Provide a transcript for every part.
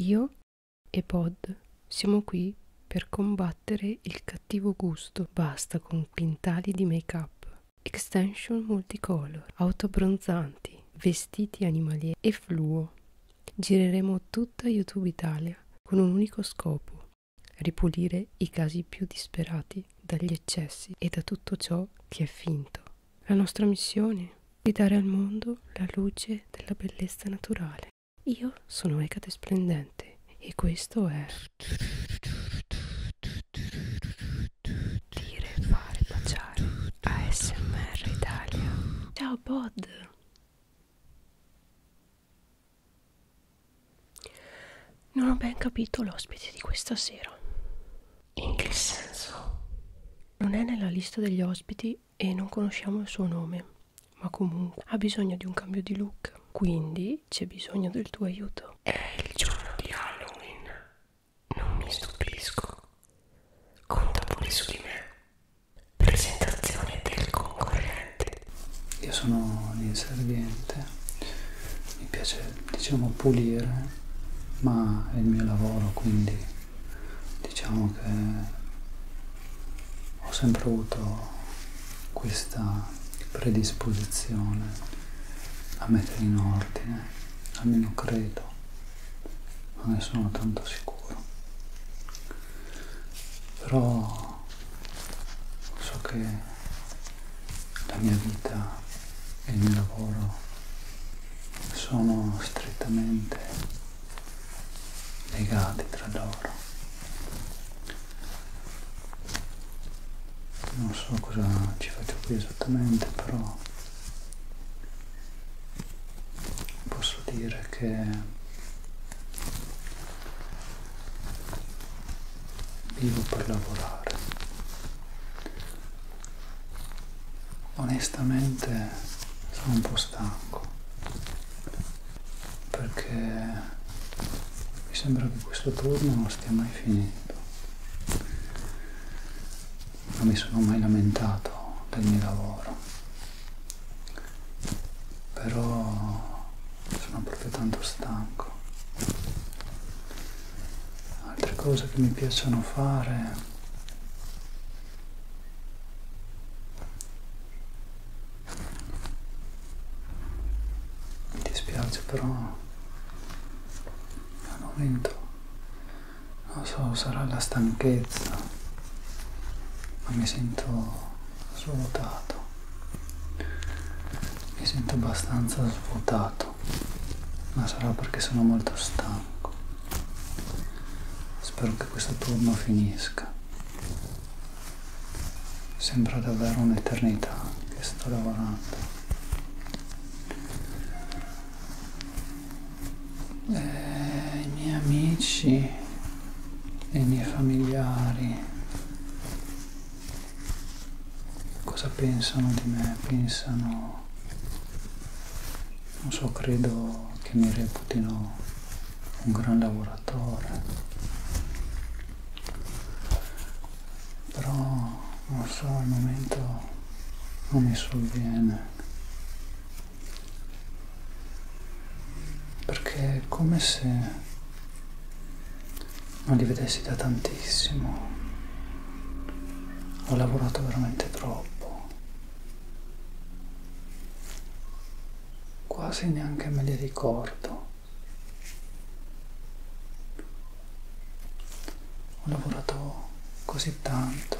Io e Pod siamo qui per combattere il cattivo gusto. Basta con quintali di make-up, extension multicolor, auto bronzanti, vestiti animalieri e fluo. Gireremo tutta YouTube Italia con un unico scopo, ripulire i casi più disperati dagli eccessi e da tutto ciò che è finto. La nostra missione di dare al mondo la luce della bellezza naturale. Io sono Ecate Splendente e questo è... Dire, fare, baciare. ASMR Italia. Ciao Bod! Non ho ben capito l'ospite di questa sera. In che senso? Non è nella lista degli ospiti e non conosciamo il suo nome, ma comunque ha bisogno di un cambio di look, quindi c'è bisogno del tuo aiuto. È il giorno di Halloween, non mi stupisco. Conta pure su di me. Presentazione del concorrente. Io sono l'inserviente, mi piace diciamo pulire, ma è il mio lavoro quindi diciamo che ho sempre avuto questa predisposizione a mettere in ordine, almeno credo, non ne sono tanto sicuro. Però so che la mia vita e il mio lavoro sono strettamente legati tra loro. Non so cosa ci faccio qui esattamente, però posso dire che vivo per lavorare. Onestamente sono un po' stanco perché mi sembra che questo turno non stia mai finendo non mi sono mai lamentato del mio lavoro però sono proprio tanto stanco altre cose che mi piacciono fare mi dispiace però al momento non so, sarà la stanchezza, ma mi sento svuotato. Mi sento abbastanza svuotato, ma sarà perché sono molto stanco. Spero che questo turno finisca. Sembra davvero un'eternità che sto lavorando. E eh, I miei amici e i miei familiari cosa pensano di me? Pensano non so, credo che mi reputino un gran lavoratore, però non so, al momento non mi sovviene, perché è come se non li vedessi da tantissimo, ho lavorato veramente troppo quasi neanche me li ricordo. Ho lavorato così tanto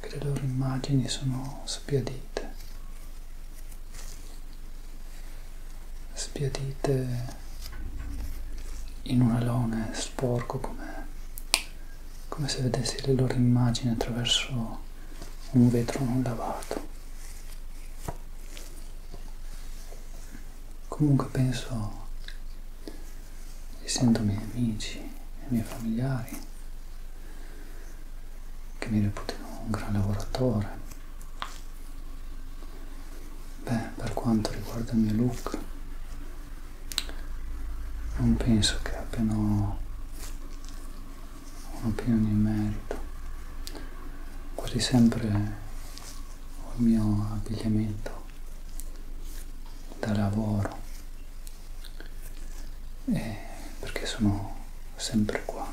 che le loro immagini sono sbiadite, sbiadite in un alone sporco come come se vedessi le loro immagini attraverso un vetro non lavato. Comunque penso e sento i miei amici e i miei familiari che mi reputano un gran lavoratore. Beh, per quanto riguarda il mio look, non penso che abbiano un'opinione in merito. Quasi sempre ho il mio abbigliamento da lavoro e perché sono sempre qua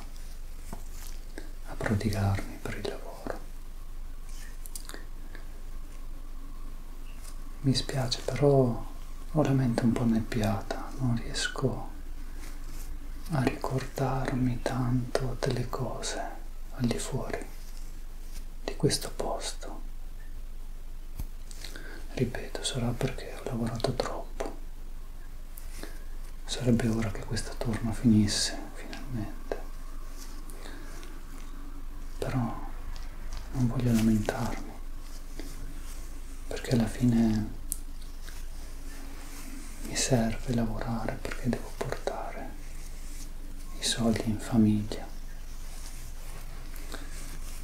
a prodigarmi per il lavoro mi spiace però veramente un po' nebbiata, non riesco a ricordarmi tanto delle cose al di fuori di questo posto. Ripeto, sarà perché ho lavorato troppo. Sarebbe ora che questa turno finisse finalmente. Però non voglio lamentarmi facciamo perché alla fine mi serve lavorare perché devo portare i soldi in famiglia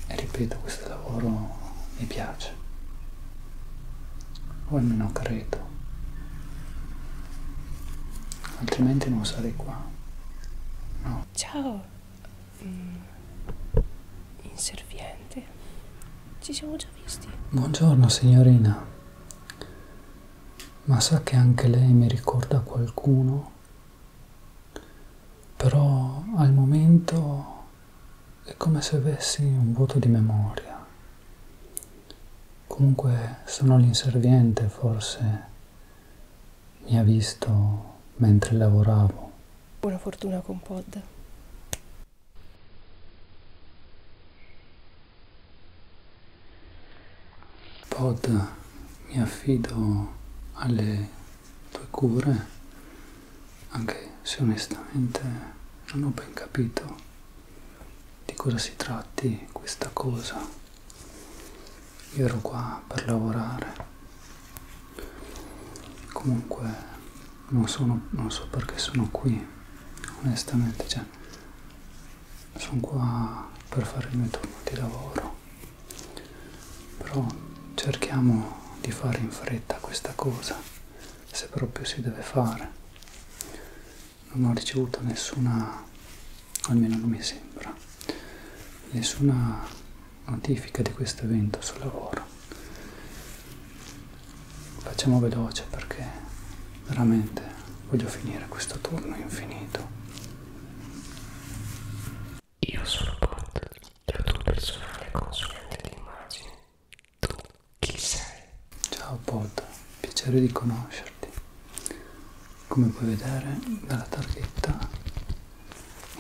e ripeto questo lavoro mi piace o almeno credo altrimenti non sarei qua no. ciao mm, inserviente. Ci siamo già visti. Buongiorno signorina. Ma sa che anche lei mi ricorda qualcuno? Però al momento è come se avessi un vuoto di memoria. Comunque sono l'inserviente, forse mi ha visto mentre lavoravo. Buona fortuna con Pod. Pod, mi affido alle tue cure, anche se onestamente non ho ben capito di cosa si tratti questa cosa. Io ero qua per lavorare comunque non, sono, non so perché sono qui onestamente cioè sono qua per fare il mio turno di lavoro però cerchiamo di fare in fretta questa cosa se proprio si deve fare non ho ricevuto nessuna almeno non mi sembra nessuna notifica di questo evento sul lavoro facciamo veloce perché veramente voglio finire questo turno infinito io sono Bot la tua personale consulente di immagine tu chi sei? ciao Bot piacere di conoscerti come puoi vedere dalla targhetta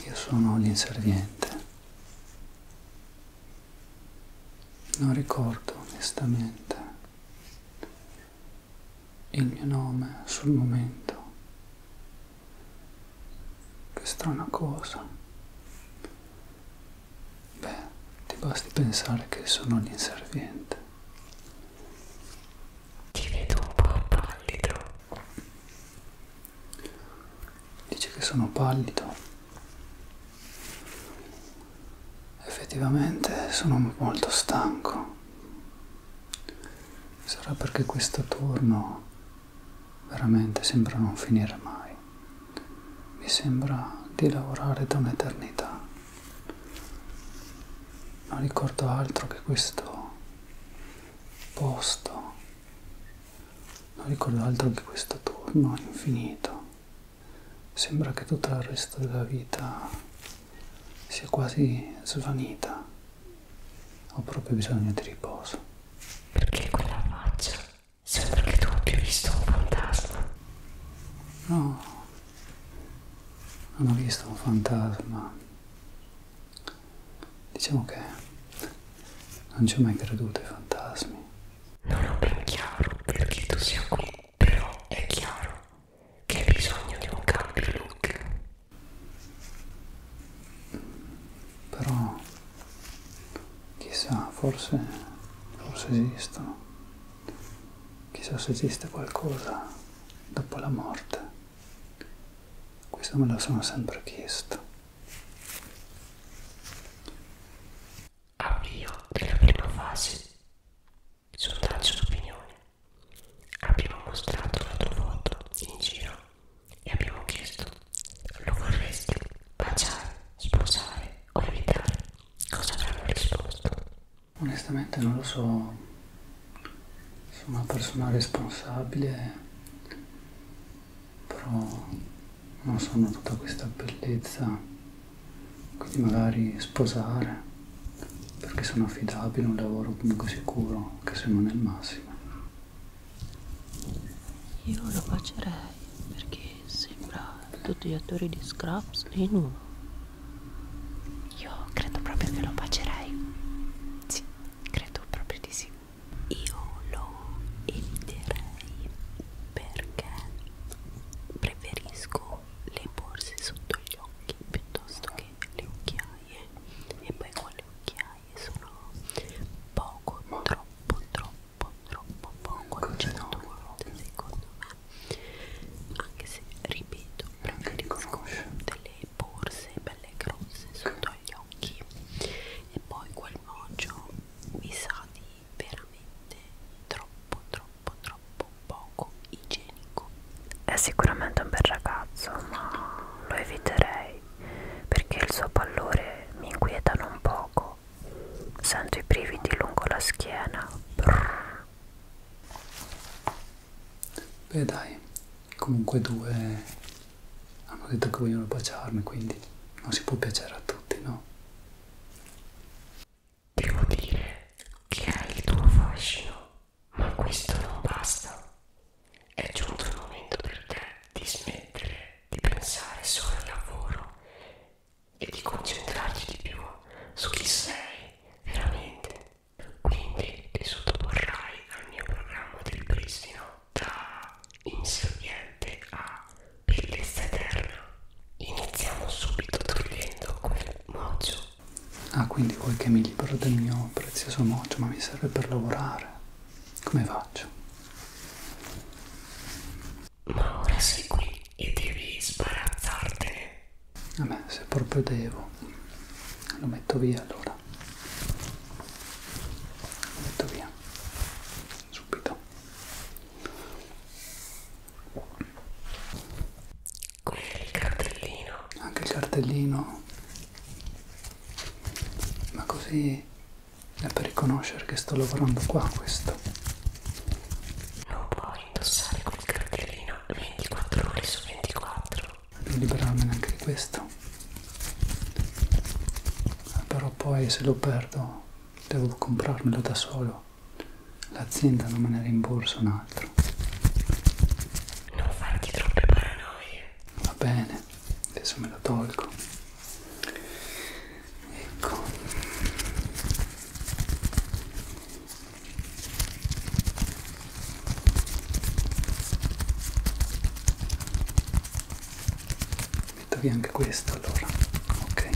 io sono l'inserviente. Non ricordo onestamente il mio nome sul momento. Che strana cosa. Beh, ti basti pensare che sono l'inserviente. Ti vedo un po' pallido. Dice che sono pallido. Effettivamente sono molto stanco. Sarà perché questo turno veramente sembra non finire mai. Mi sembra di lavorare da un'eternità. Non ricordo altro che questo posto non ricordo altro che questo turno infinito sembra che tutto il resto della vita sia quasi svanita ho proprio bisogno di riposo perché quella faccia sembra che tu abbia visto un fantasma no non ho visto un fantasma Diciamo che non ci ho mai creduto ai fantasmi. Non ho ben chiaro perché tu sia qui, però è chiaro che hai bisogno di un cambio look. Però, chissà, forse, forse esistono. Chissà se esiste qualcosa dopo la morte. Questo me lo sono sempre chiesto. Avvio della prima fase. Sondaggio d'opinione. Abbiamo mostrato la tua foto in giro e abbiamo chiesto: lo vorresti baciare, sposare o evitare? Cosa avranno risposto? Onestamente non lo so. Sono una persona responsabile però non sono tutta questa bellezza quindi magari sposare perché sono affidabile un lavoro comunque sicuro che se non è il massimo io lo bacerei perché sembra tutti gli attori di Scraps in uno io credo proprio che lo bacerei sì credo proprio di sì io lo eviterei perché preferisco le borse sotto gli occhi piuttosto che le occhiaie e poi con le occhiaie sono poco troppo troppo troppo poco accetto ecco, secondo me anche se ripeto preferisco delle borse belle grosse sotto gli occhi e poi quel mojo mi sa di veramente troppo troppo troppo poco igienico è sicuramente un bel ragazzo ma lo eviterei perché il suo pallore mi inquieta non poco sento i brividi lungo la schiena Brrr. beh dai comunque due hanno detto che vogliono baciarmi quindi non si può piacere a tutti no devo dire che hai il tuo fascino ma questo non basta è giunto il momento per te di smettere di pensare solo al lavoro e di concentrarti di più su chi sei veramente quindi ti sottoporrai al mio programma del pristino da insognante a bellezza eterna iniziamo subito togliendo quel mojo ah quindi vuoi che mi libero del mio prezioso mojo ma mi serve per lavorare come faccio? ma ora sei qui e devi sbarazzartene a me se proprio devo lo metto via allora via metto via subito quindi il cartellino anche il cartellino ma così è per riconoscere che sto lavorando qua questo non puoi indossare quel cartellino 24 ore su 24 non liberarmi neanche di questo però poi se lo perdo devo comprarmelo da solo l'azienda non me ne rimborsa un altro non farti troppe paranoie va bene adesso me lo tolgo ecco metto via anche questo allora ok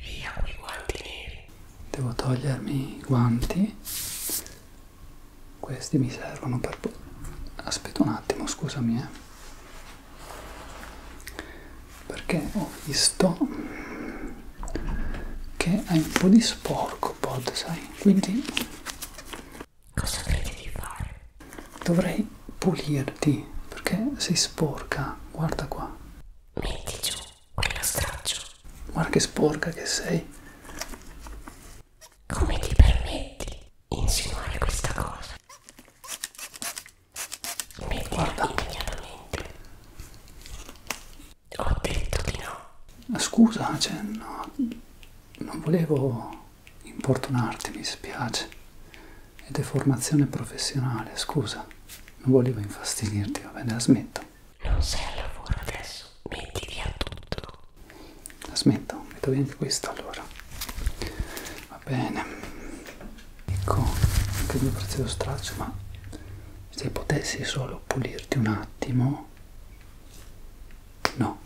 via con i guanti neri devo togliermi i guanti questi mi servono per aspetta un attimo scusami eh perché ho visto che hai un po' di sporco pod sai quindi cosa credi di fare? dovrei pulirti perché sei sporca guarda qua metti giù quella straccio guarda che sporca che sei come ti permetti insinuare questa cosa metti guarda immediatamente ho detto di no. Ma scusa, cioè, no, non volevo importunarti, mi spiace. È deformazione professionale, scusa. Non volevo infastidirti, va bene, la smetto. Non sei al lavoro adesso, metti via tutto. La smetto, metto via anche questo allora. Va bene. Ecco, anche il mio prezioso straccio, ma se potessi solo pulirti un attimo no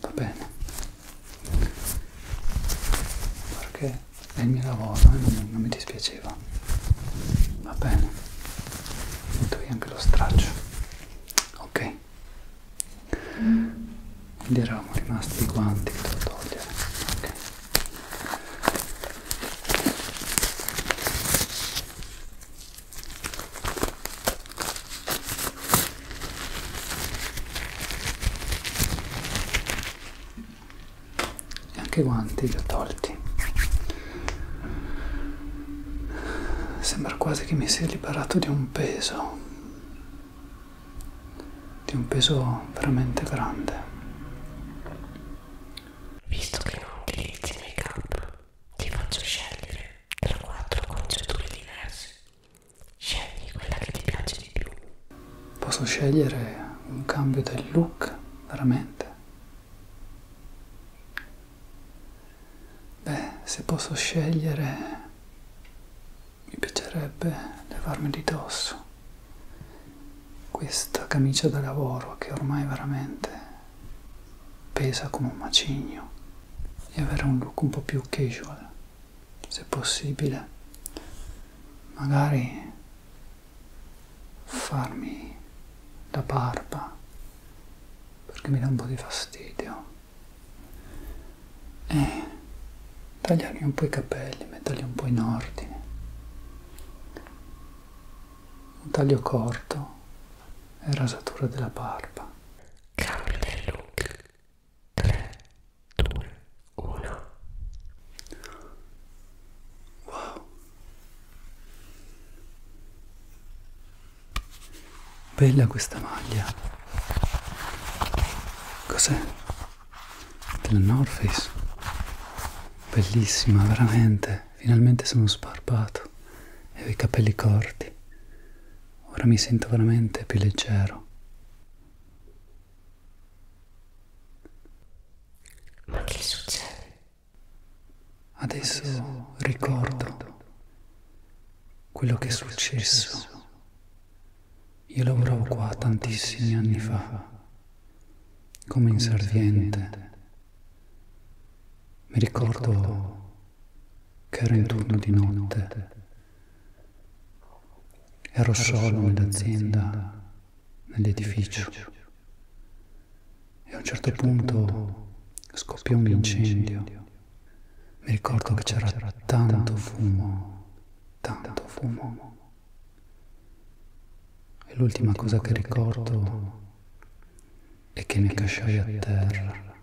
va bene perché è il mio lavoro e eh, non, non mi dispiaceva va bene metto via anche lo straccio ok quindi eravamo rimasti i guanti da togliere eh. ok e anche i guanti li ho tolti sembra quasi che mi sia liberato di un peso di un peso veramente grande Visto che non utilizzi make-up, ti faccio scegliere tra quattro acconciature diverse. Scegli quella che ti piace di più. Posso scegliere un cambio del look, veramente? Beh, se posso scegliere, mi piacerebbe levarmi di dosso questa camicia da lavoro che ormai veramente pesa come un macigno e avere un look un po' più casual se possibile magari farmi la barba perché mi dà un po' di fastidio e tagliarmi un po' i capelli metterli un po' in ordine un taglio corto e rasatura della barba. Cambio del look. 3, 2, 1. Wow. Bella questa maglia. Cos'è? Della North Face bellissima veramente finalmente sono sbarbato e ho i capelli corti ora mi sento veramente più leggero ma che succede? adesso, adesso ricordo, ricordo quello che è successo io lavoravo qua tantissimi anni fa come inserviente. Mi ricordo che ero in turno di notte, ero solo nell'azienda, nell'edificio e a un certo, certo punto scoppiò un incendio. Mi ricordo che c'era tanto fumo, tanto fumo e l'ultima cosa che ricordo è che mi accasciai a terra,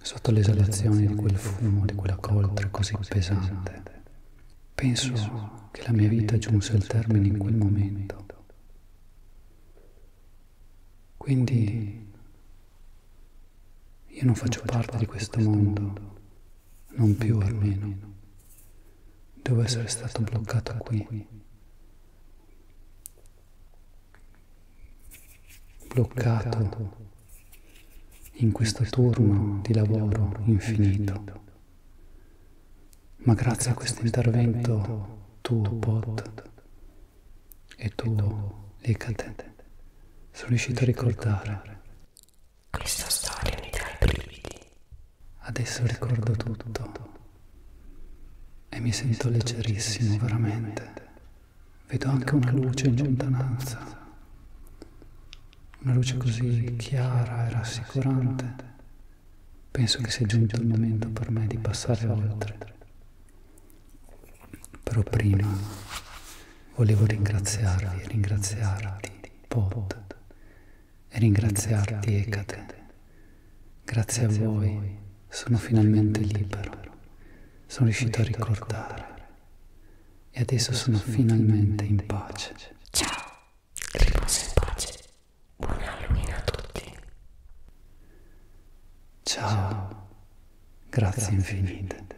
sotto l'esalazione di quel fumo, di quella coltre così pesante. Penso che la mia vita giunse al termine in quel momento. Quindi io non faccio parte di questo mondo non più almeno. Devo essere stato bloccato qui. Bloccato in questo turno di lavoro infinito. Ma grazie a questo intervento tuo, Pot, e tuo, Licate, sono riuscito a ricordare. Questa storia mi dà i brividi. Adesso ricordo tutto e mi sento leggerissimo veramente. Vedo anche una luce in lontananza, una luce così chiara e rassicurante. Penso che sia giunto il momento per me di passare oltre. Però prima volevo ringraziarvi, ringraziarti, Pod, e ringraziarti, Ecate. Grazie, Grazie a voi sono finalmente libero, sono riuscito a ricordare e adesso sono finalmente in pace. Ciao, riposa in pace, buon Halloween a tutti. Ciao, grazie infinite.